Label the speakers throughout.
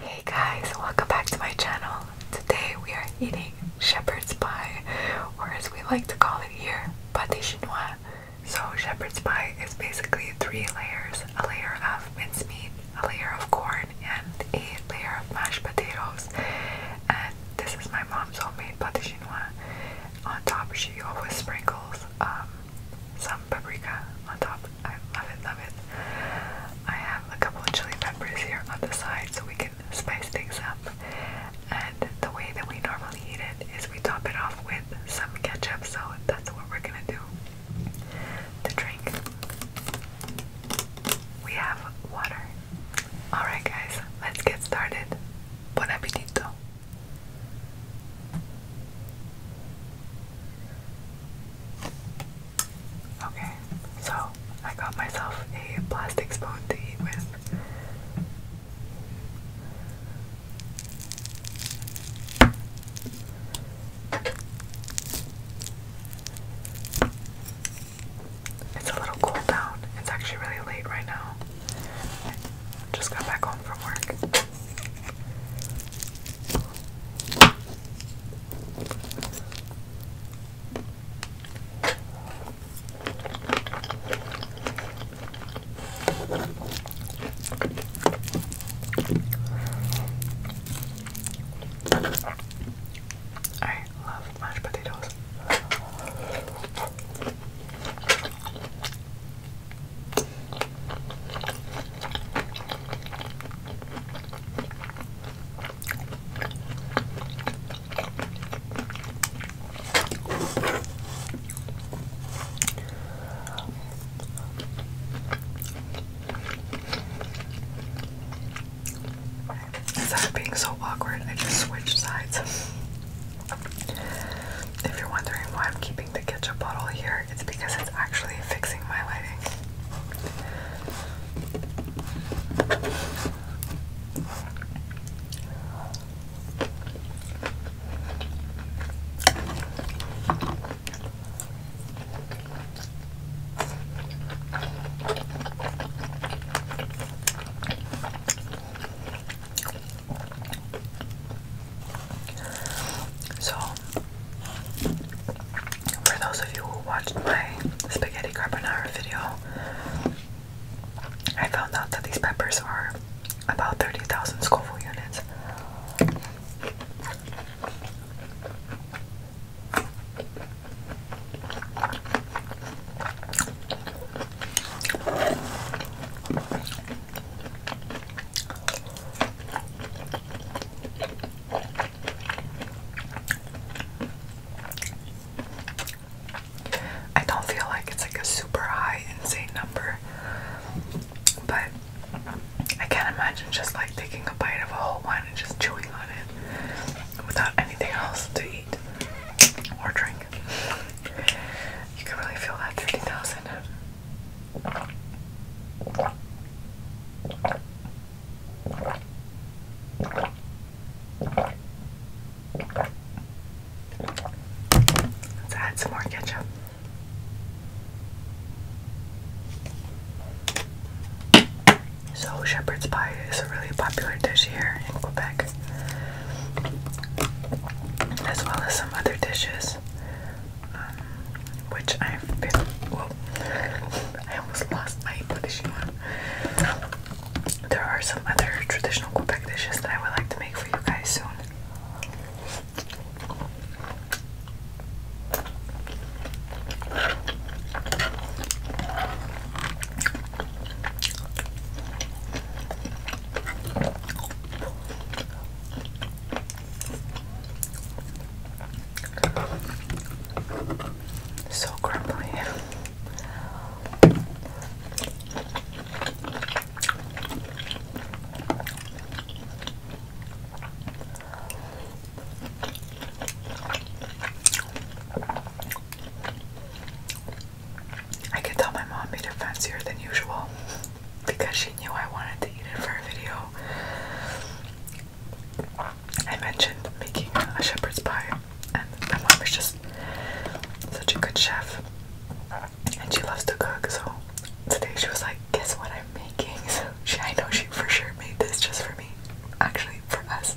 Speaker 1: Hey guys, welcome back to my channel. Today we are eating shepherd's pie, or as we like to call it here, pâté chinois. So shepherd's pie is basically three layers, a layer of mincemeat, a layer of corn, and a layer of mashed potatoes. And this is my mom's homemade pâté chinois. On top she always sprinkles um, some paprika on top. I love it, love it. I have a couple of chili peppers here on the side so we can spice things up. And the way that we normally eat it is we top it off with some ketchup, so that's what we're gonna do. The drink. We have water. Alright, guys, let's get started. Buon appetito! Okay, so I got myself a plastic spoon to eat with. It's a little cool down. It's actually really late right now. just got back home from work. I love mashed potatoes. Instead of being so awkward, I just switched sides. If you're wondering why I'm keeping keeping the a bottle here, it's because it's actually fixing my lighting. So, for those of you who watched my spaghetti carbonara video, I found out that these peppers are about 30,000 Scoville units. I don't feel like it's like a super high, insane number, but I can't imagine just like taking a bite of a whole one and just chewing on it without anything else to eat or drink. You can really feel that 30,000. Let's add some more ketchup. So, shepherd's pie is a really popular dish here in Quebec, as well as some other dishes. Um, which I've been. Well, I almost lost my issue There are some other traditional Quebec dishes that I would like to make for you guys soon. So crumbly. I could tell my mom made it fancier than usual because she knew I wanted to eat it for a video. I mentioned making a shepherd's pie, and my mom is just such a good chef, and she loves to cook. So today she was like, "Guess what I'm making?" she, I know she for sure made this just for me, actually for us.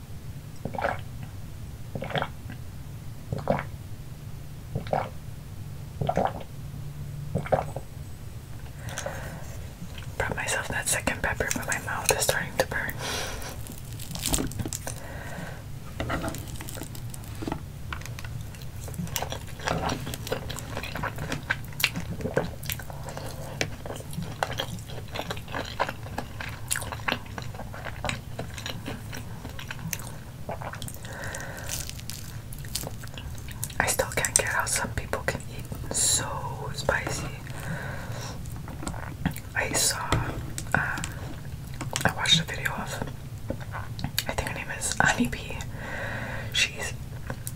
Speaker 1: Brought myself that second pepper, but my mouth is starting to burn. I still can't get how some people can eat so spicy. I saw, uh, I watched a video of, I think her name is Honeybee. She's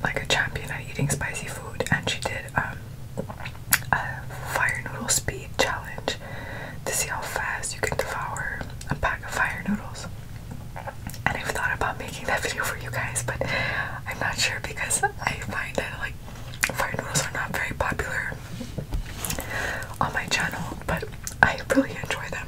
Speaker 1: like a champion at eating spicy food, and she did um, a fire noodle speed challenge to see how fast you can devour a pack of fire noodles. And I've thought about making that video for you guys, but I'm not sure because I find that like fire noodles are not very popular on my channel, but I really enjoy them.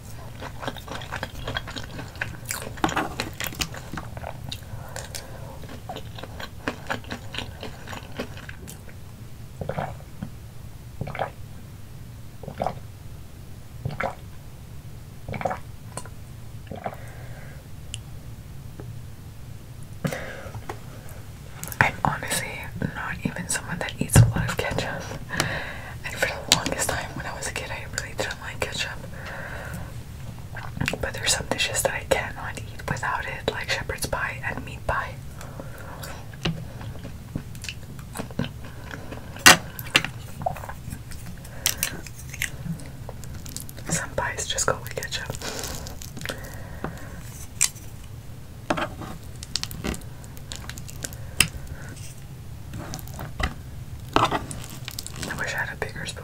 Speaker 1: I'm honestly not even someone that eats a lot of ketchup and for the longest time when I was a kid, I really didn't like ketchup. But there's some dishes that I cannot eat without it, like shepherd's pie and meat pie. Some pies just go with ketchup. I wish I had a bigger spoon.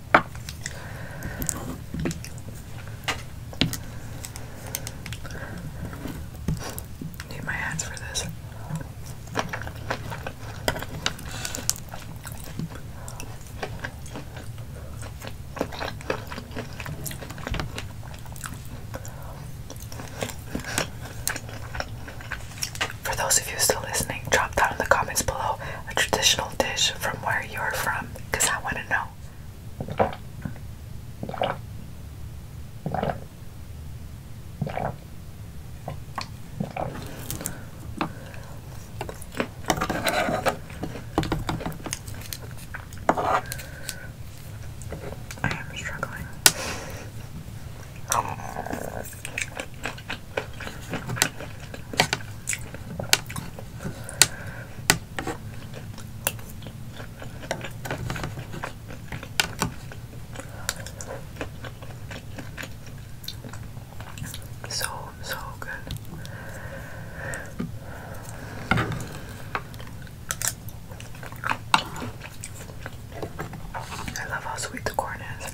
Speaker 1: Need my hands for this. For those of you still listening, drop down in the comments below a traditional dish from where you're from because I want to know. I am struggling. So, so good. I love how sweet the corn is.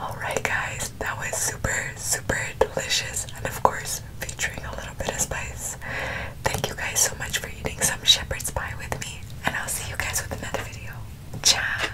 Speaker 1: Alright, guys, that was super, super delicious, and of course, featuring a little bit of spice. Thank you guys so much for eating some shepherd's pie with me, and I'll see you guys with another video. Ciao!